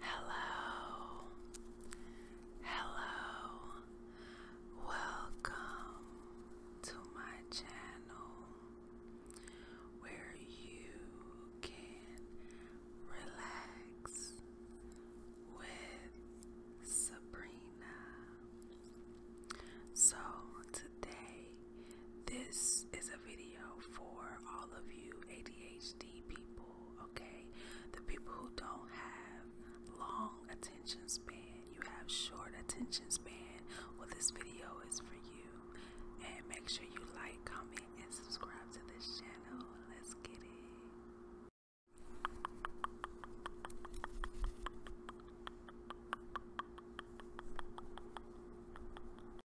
Hello, hello, welcome to my channel where you can relax with Sabrina. So, today, this is a video for all of you ADHD people, okay? The people who don't have long attention span, you have short attention span. Well, this video is for you. And make sure you like, comment, and subscribe to this channel. Let's get it.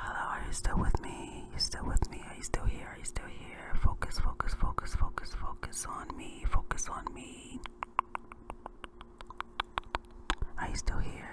are you still with me? You still with me? Are you still here? Are you still here? Focus, focus, focus, focus, focus on me. Focus on me. Are you still here?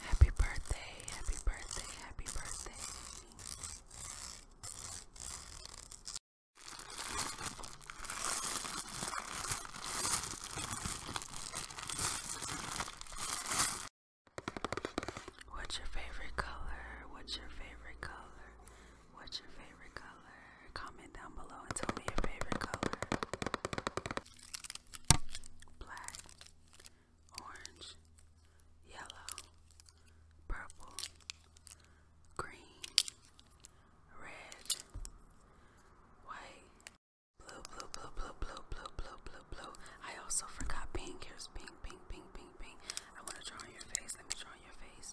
Happy birthday, happy birthday, happy birthday. What's your favorite color? What's your favorite color? What's your favorite color? Comment down below and tell me your favorite color. Black orange, yellow, purple, green, red, white, blue, blue, blue, blue, blue, blue, blue, blue, blue. I also forgot pink. Here's pink, pink, pink, pink, pink. I want to draw on your face. Let me draw on your face.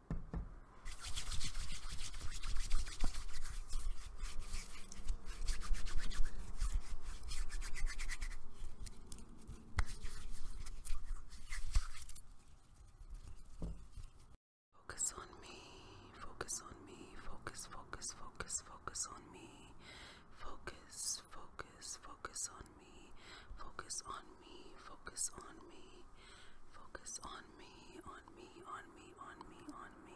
Focus on me, focus on me, focus, focus, focus, focus on me, focus, focus, focus on me, focus on me, focus on me, focus on on me, on me, on me, on me, on me.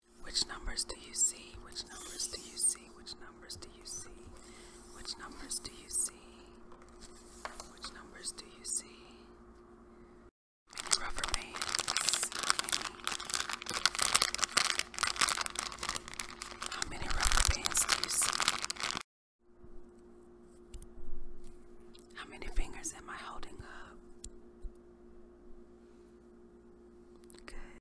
Which numbers do you see? Which numbers do you see? Which numbers do you see? Which numbers do you see? Which numbers do you see? rubber bands. How many? rubber bands do you see? How many fingers am I holding up? Good.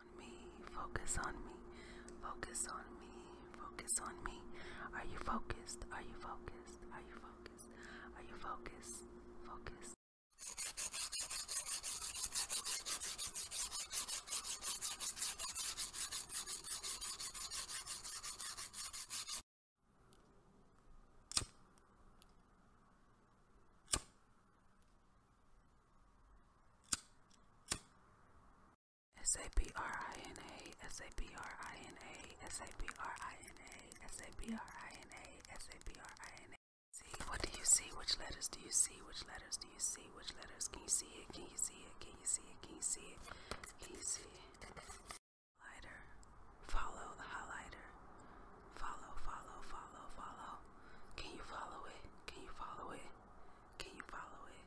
focus on me, focus on me, focus on me. Are you focused? Are you focused? Are you focused? Are you focused? Focus. S A B R I N A, S A B R I N A, S A B R I N A, S A B R I N A, S A B R I N A. See, what do you see? Which letters do you see? Which letters do you see? Which letters? Can you see it? Can you see it? Can you see it? Can you see it? Can you see it? Highlighter. Follow the highlighter. Follow, follow, follow, follow. Can you follow it? Can you follow it? Can you follow it?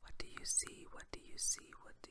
What do you see? What do you see? What do